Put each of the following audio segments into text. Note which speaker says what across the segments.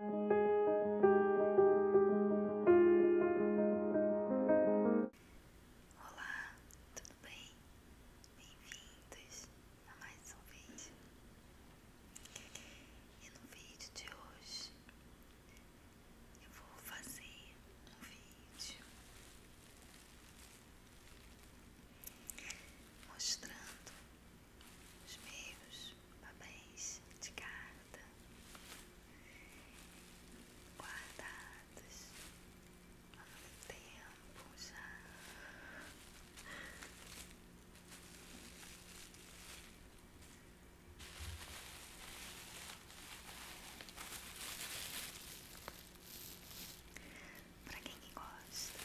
Speaker 1: Olá, tudo bem? Bem-vindos a mais um vídeo. E no vídeo de hoje eu vou fazer um vídeo mostrando os meus papéis de carta guardados há muito tempo já. Pra quem que gosta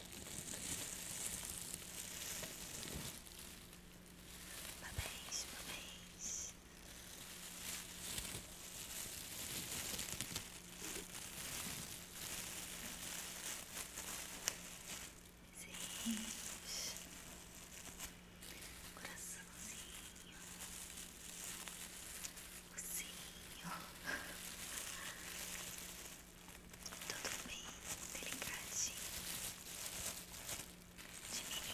Speaker 1: Parabéns, parabéns. Seis. Coraçãozinho sim, tudo bem delicadinho, de menina.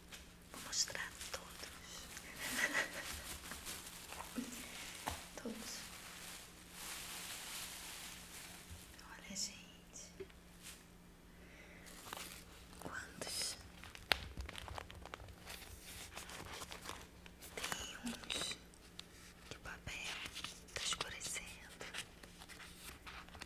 Speaker 1: Vou mostrar todos. todos. Olha, gente. Quantos? Tem uns que o papel tá escurecendo.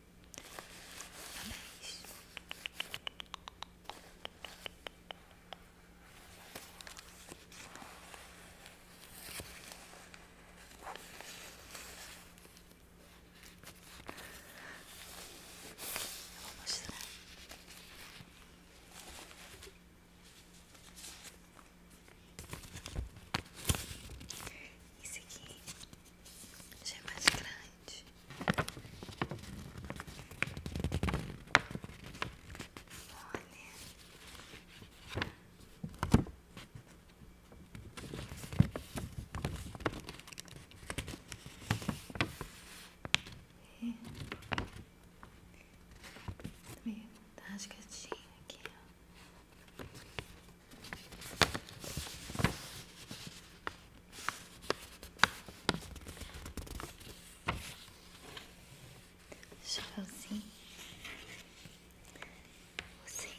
Speaker 1: Anéis. Eu vou mostrar. Esse aqui já é mais grande bastante. Olha. É. Meio rasgadinho aqui, Chapeuzinho. Ossinho.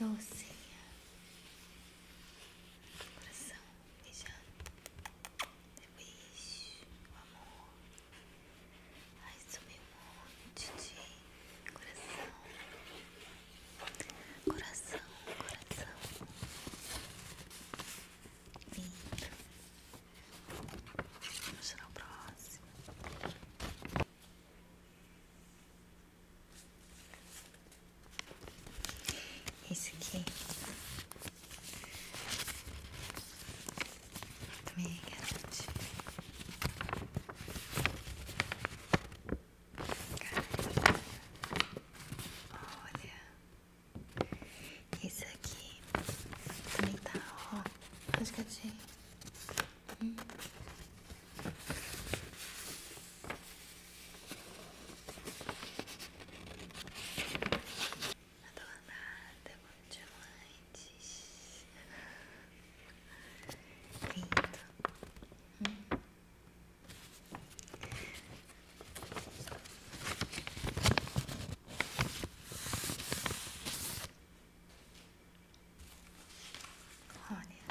Speaker 1: Eu ossinho. Coração. Beijando. Depois. amor. Ai, sumiu um monte de coração. Coração, coração. vindo Vamos tirar o próximo. isso aqui. Também é Olha, esse aqui também tá, ó, rasgadinho. Hum. Adornada, com diamantes. Lindo. Hum. Olha,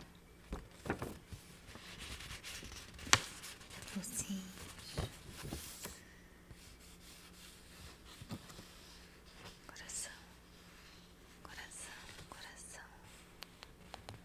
Speaker 1: vocês coração, coração, coração,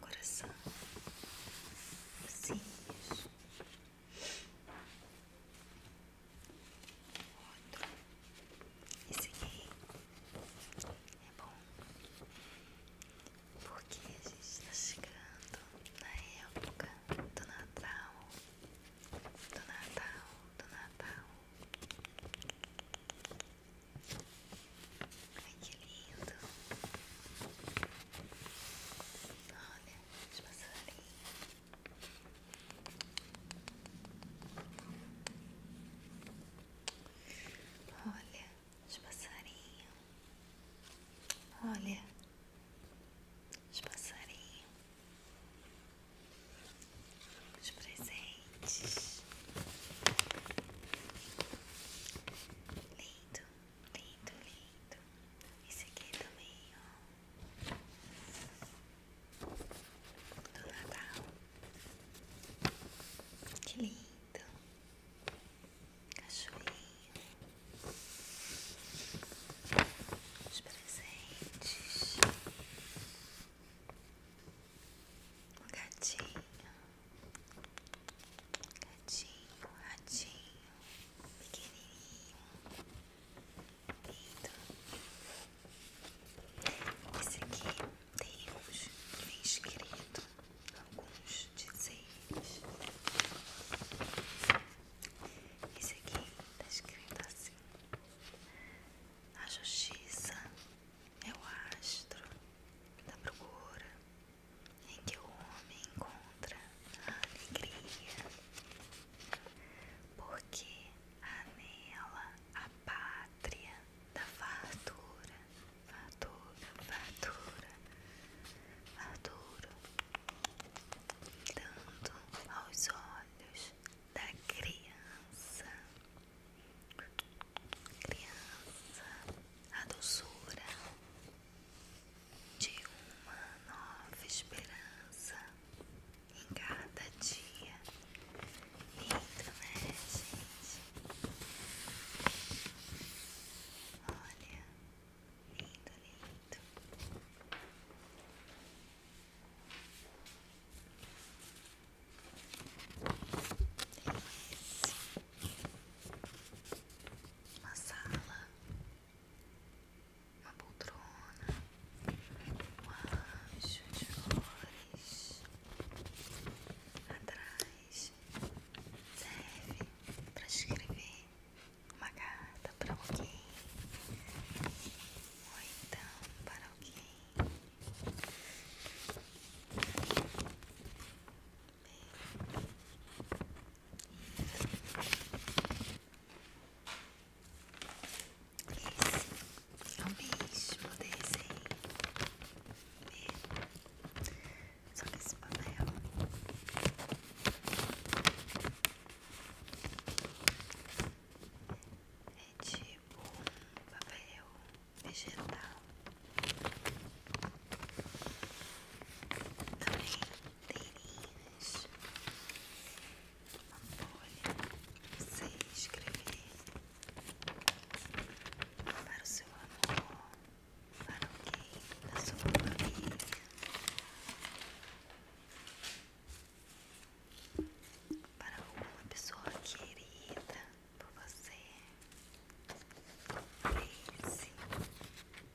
Speaker 1: coração, cílios, outro. e aqui é bom porque a gente está chegando na época do Natal, do Natal, do Natal que lindo. Olha, os passarinhos. Olha, os passarinhos. Olha, os passarinhos. Os presentes. Lindo lindo, lindo. Esse aqui também, ó. Do Natal. Que lindo. Cachorrinho. Os presentes. O gatinho. Gatinho, ratinho, pequenininho, lindo. Esse aqui tem uns que vem escrito, alguns dizeres. Esse aqui tá escrito assim. A justiça é o astro da procura em que o homem encontra a alegria, porque há nela a pátria da fartura, fartura, fartura, fartura, dando aos olhos da criança. Criança, a doçura de uma nova esperança em cada dia. Lindo, né, gente? Olha, lindo, lindo uma sala, uma poltrona, um anjo de flores atrás serve para escrever uma carta para alguém ou então para alguém. Isso. É o mesmo desenho. Mesmo. Só esse papel. É tipo papel vegetal. Brincadeirinhas. Uma folha pra você escrever para o seu amor, para alguém da sua família. Para alguma pessoa querida por você,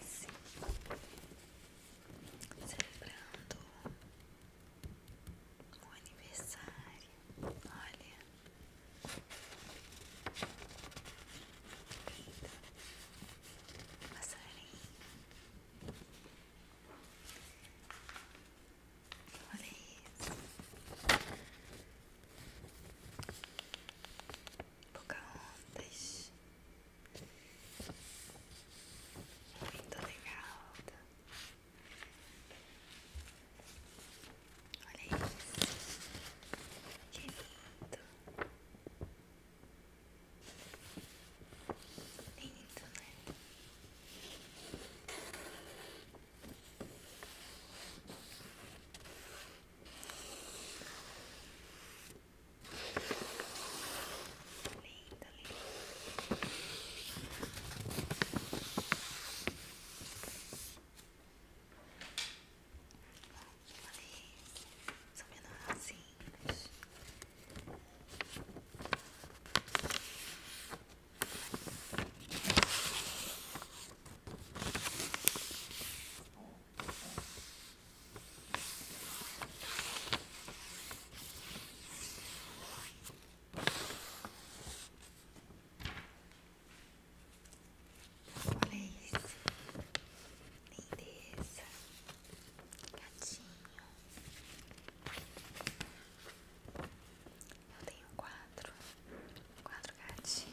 Speaker 1: Esse. Celebrando o aniversário. Olha. Passarinho. Olha isso. Pocahontas. Muito legal. Olha isso. Que lindo. Lindo, né? Linda, linda. São menorzinhos. Olha isso, lindeza, gatinho. Eu tenho quatro, quatro gatinhos.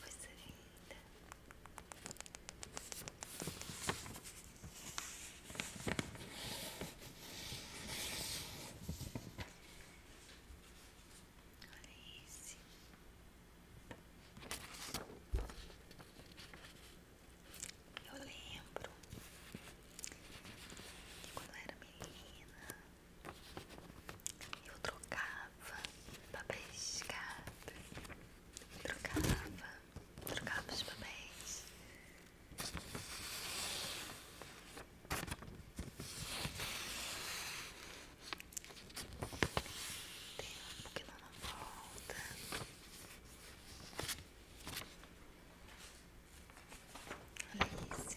Speaker 1: Coisa linda. Olha esse. Eu lembro que quando eu era menina eu trocava trocava papéis de trocava, trocava os papéis. Tempo não volta. Alice.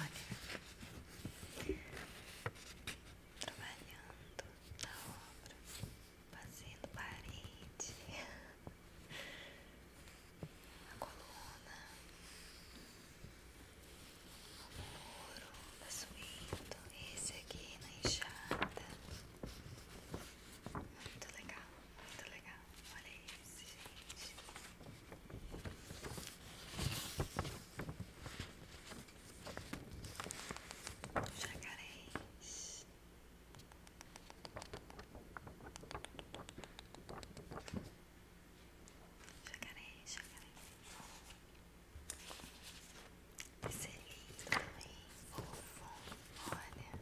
Speaker 1: Olha, trabalhando na obra, fazendo parede, a coluna, o muro da suíta, esse aqui na enxada. Muito legal, muito legal. Olha esse, gente. Jacarés. Jacarés, jacarés. Esse é lindo também, fofo, olha.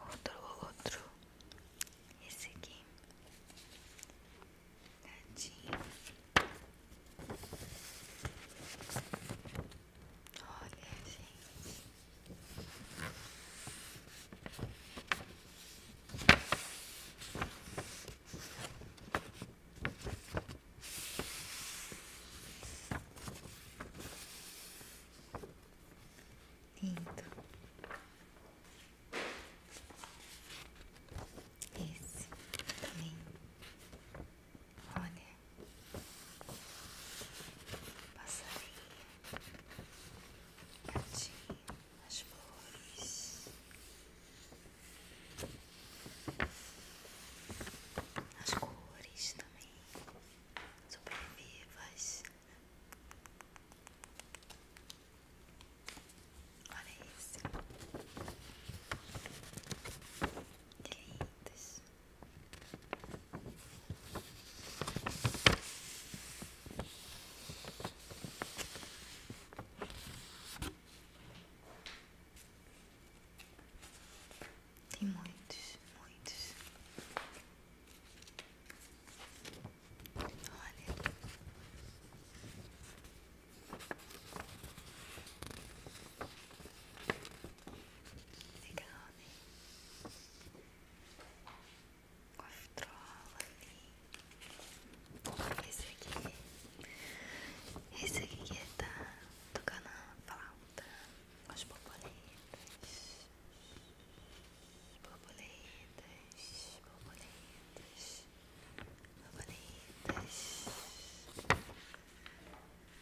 Speaker 1: Outro, outro, esse aqui, tadinho. Olha, gente. Lindo. Esse também. Olha passarinho, gatinho, as flores, as cores também, sobrevivas Olha isso Que tem muitos, muitos. Olha. Se calme. Controla ali. Esse aqui. Esse aqui que tá tocando a flauta. As borboletas. Borboletas. Borboletas. Borboletas.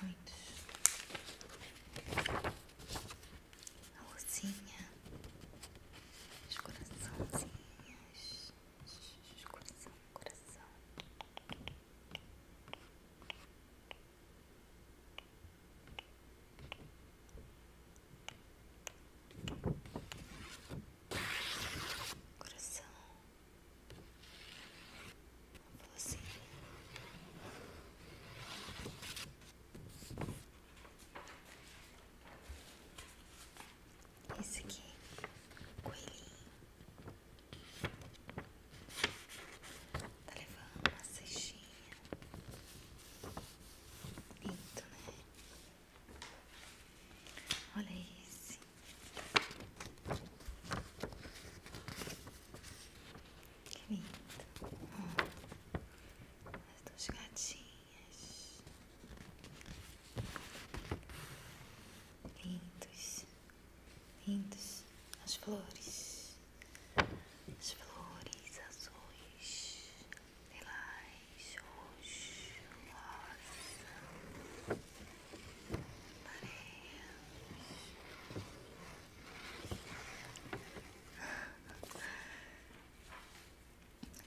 Speaker 1: Muitos. A luzinha. Os coraçãozinhos. coração, coração. Coração. Falou Esse aqui, coelhinho. Tá levando uma cestinha. Lindo, né? Olha esse. Que lindo. as duas gatinhas. Lindos. Lindos. As flores. As flores azuis, lilás, roxo, rosa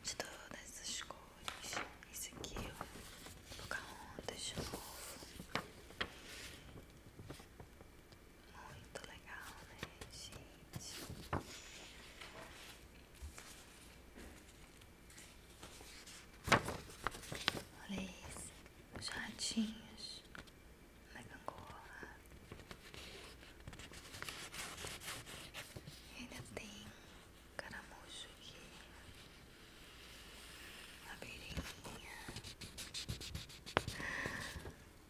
Speaker 1: de todas essas cores. Isso aqui, eu vou Colocar ondas de novo. Muito legal, né, gente? Olha isso os ratinhos da gangorra. ainda tem caramujo aqui, abelhinha,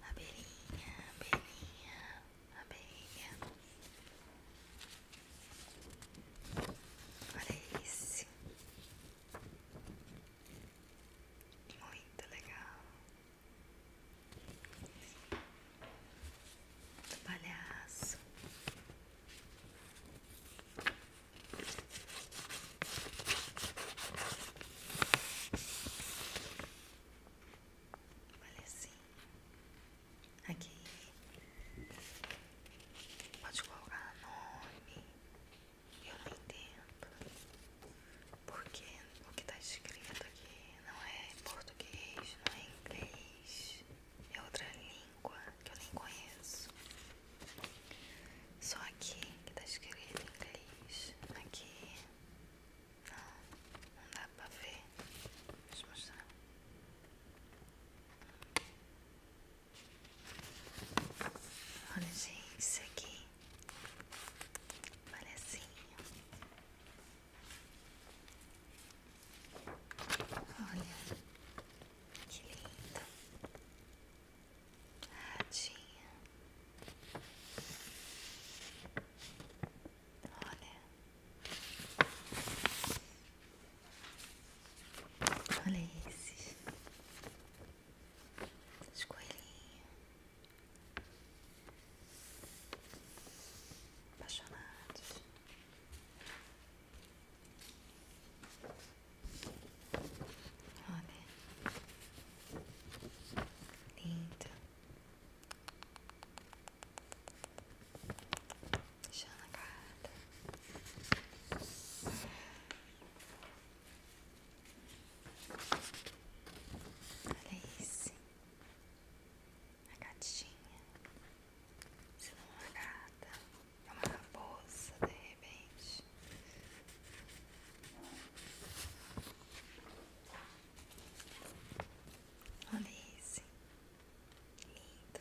Speaker 1: abelhinha, abelhinha, abelhinha. Olha esse. Muito legal. palhaço. Olha assim. Aqui. Pode colocar nome. Eu não entendo. Porque o que está escrito aqui não é português, não é inglês. É outra língua que eu nem conheço. Só aqui que está escrito inglês. Aqui. Não, não dá pra ver. Deixa eu mostrar. Olha, gente, isso aqui. Palhacinho. Olha, que lindo. Ratinha. Olha. Olha esse. Esses Apaixonados. Olha. Linda. Deixando a Olha esse. A gatinha. Se não é uma gata, é uma raposa de repente. Olha esse. Lindo.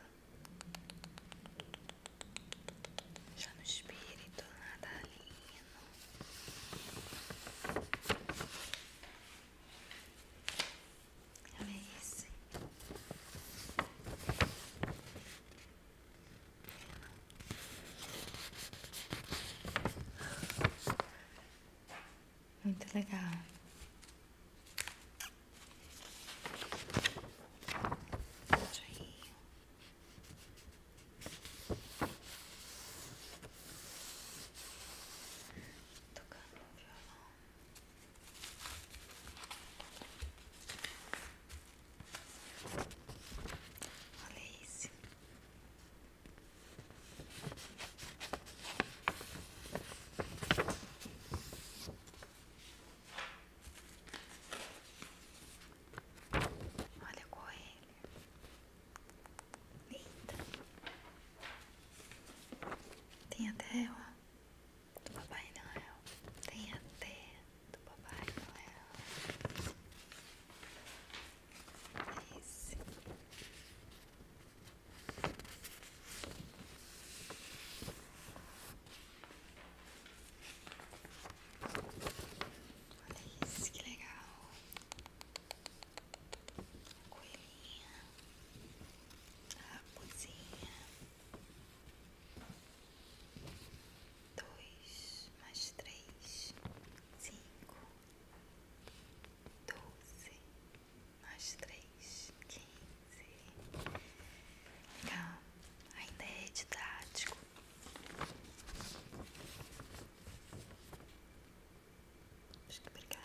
Speaker 1: Já no espírito natalino. Olha esse. Muito legal. Tocando um violão. Olha isso. Olha Olha a coelha. Linda. Tem até, ó, do Papai Noel. Tem até do Papai Noel. É esse. Olha isso, que legal. coelhinha, a Dois mais três, cinco. Doze mais três, quinze ainda é didático. Acho que brigaram.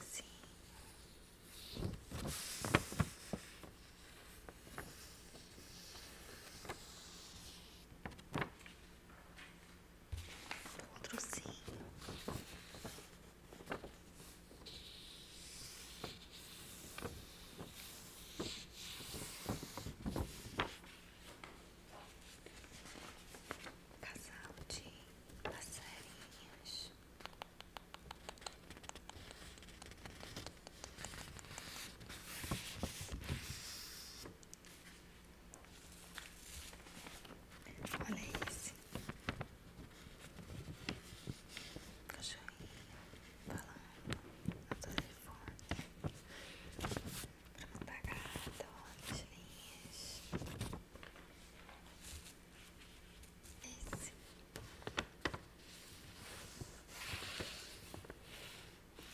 Speaker 1: Sim. Outro sim. Casal de passarinhas. Olha esse cachorrinho falando telefone pra mandar linhas. Esse.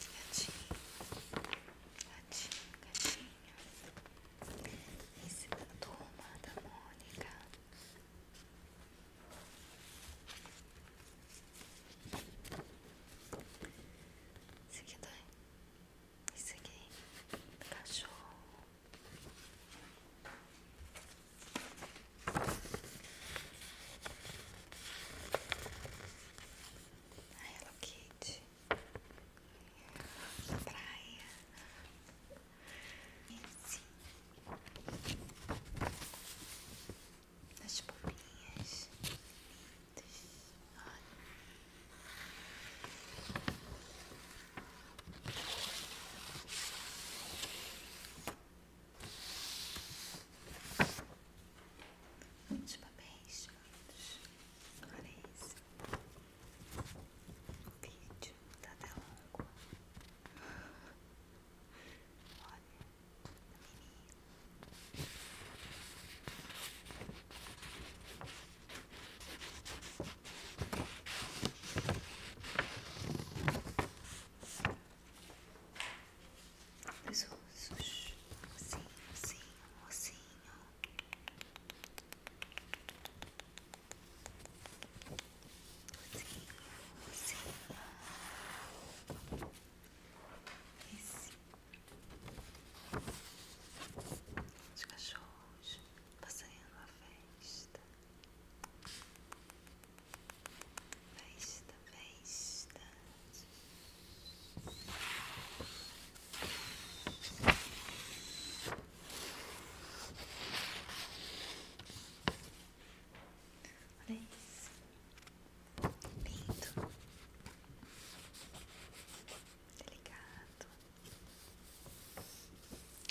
Speaker 1: Gatinho. Gatinho, gatinho. Esse da turma da Mônica. Isso aqui dói. Tá- isso aqui. É cachorro. A Hello praia. Esse das bombinhas. Muitos papéis, muitos. Olha isso. O vídeo tá até longo. Os ursos, ursinho, ursinho, ursinho. Ursinho, ursinho. Esse. Os cachorros passeando a festa. Festa, festa. festa. Lindo. Delicado.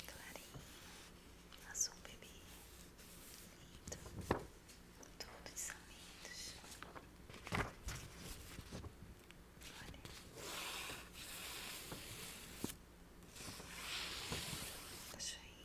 Speaker 1: Clarinho. Azul bebê. Lindo. Todos são lindos. Olha. Deixa aí.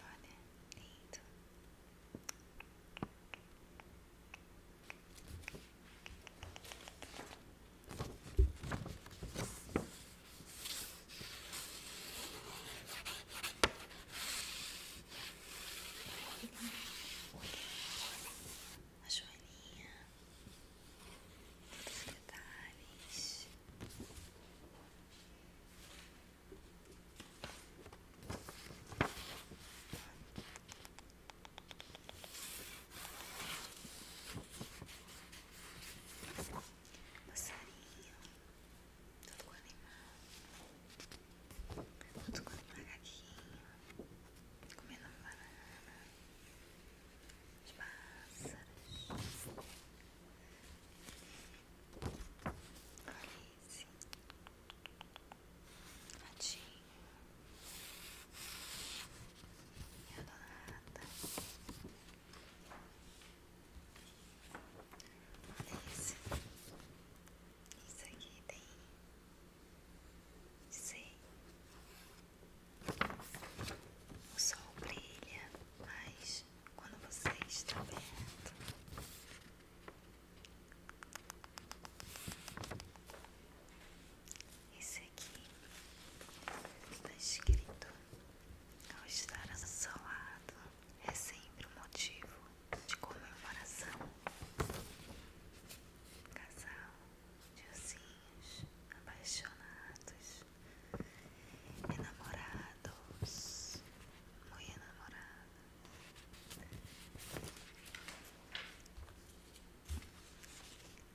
Speaker 1: Olha, lindo. A joaninha, todos os detalhes. Passarinho, todo com animal, todo com macaquinho, comendo banana, os pássaros. Alice, Ratinho, minha adorada, Alice, isso aqui tem sei o sol brilha, mas quando você está vendo. Esse aqui está escrito: ao estar ao seu lado é sempre um motivo de comemoração. Casal de apaixonados enamorados, muito enamorados.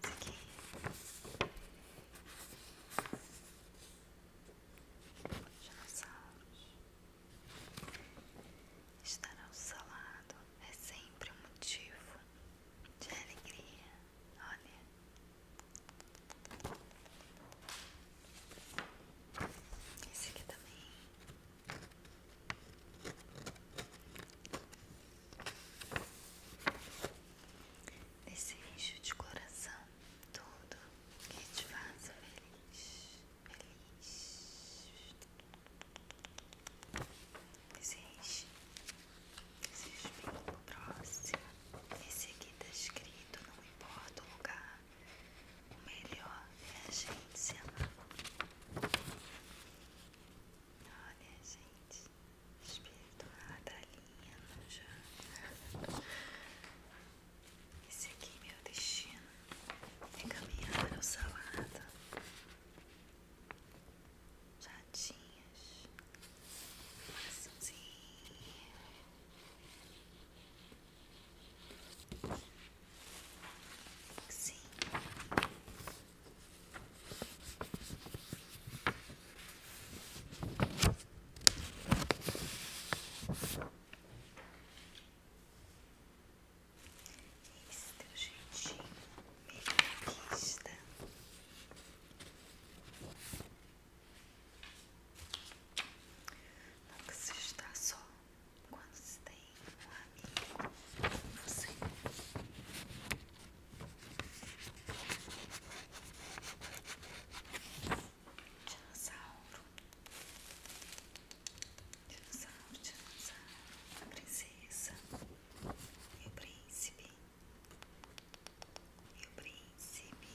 Speaker 1: Aqui. Dinossauros. Estar ao seu lado é sempre um motivo de alegria. Olha. Esse aqui também. Esse eixo de coração, tudo que te faz feliz, feliz. Esse eixo Seja bem próximo. Esse aqui tá escrito, não importa o lugar. O melhor é a gente se amar. Olha, gente. Espírito natalino já. Esse aqui, meu destino, é caminhar ao salado. Jatinhas, coraçãozinho, Sim. Esse teu jeitinho, meio conquista. Nunca se está só quando se tem um amigo como você. Dinossauro. Dinossauro, dinossauro. A princesa e o príncipe. E o príncipe.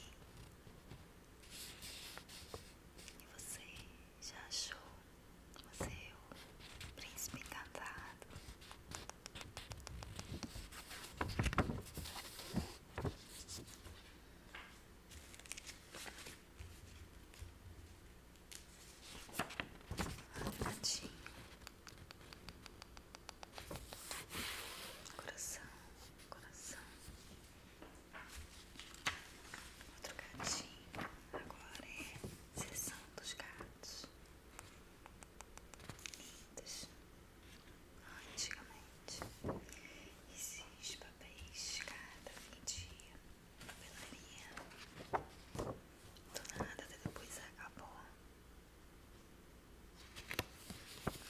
Speaker 1: E você já achou o seu príncipe encantado? Olha, Coração, coração. Outro gatinho. Agora é sessão dos gatos. Lindos. Antigamente esses papéis cada vendia papelaria. Do nada, até depois acabou.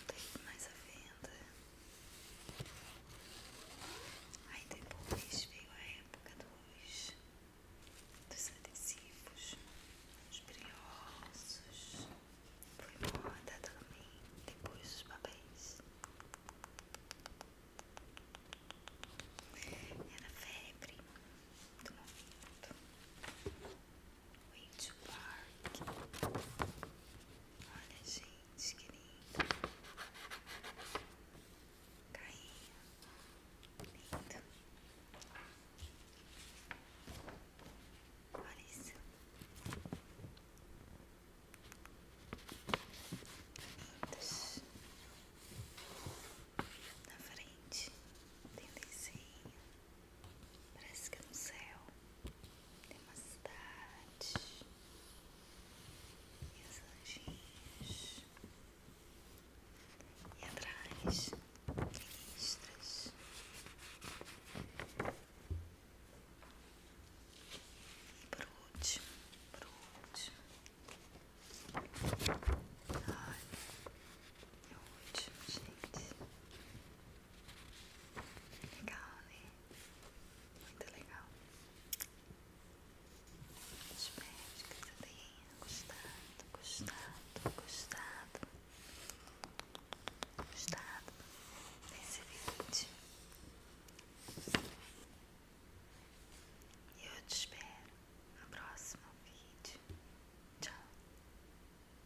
Speaker 1: Tem mais à venda. Aí depois veio a época dos, dos adesivos, os brilhosos. Foi moda também. Depois os papéis. Era febre do momento. Wait Olha, gente, que lindo. Carinha. Lindo. Olha isso. Na frente tem desenho. Parece que é no céu tem uma cidade e os anjinhos e atrás ministras e por último, por último Olha, é o último, gente. Legal, né? Muito legal. Espero que você tenha gostado, gostado, gostado, gostado desse vídeo. E eu te espero no próximo vídeo. Tchau.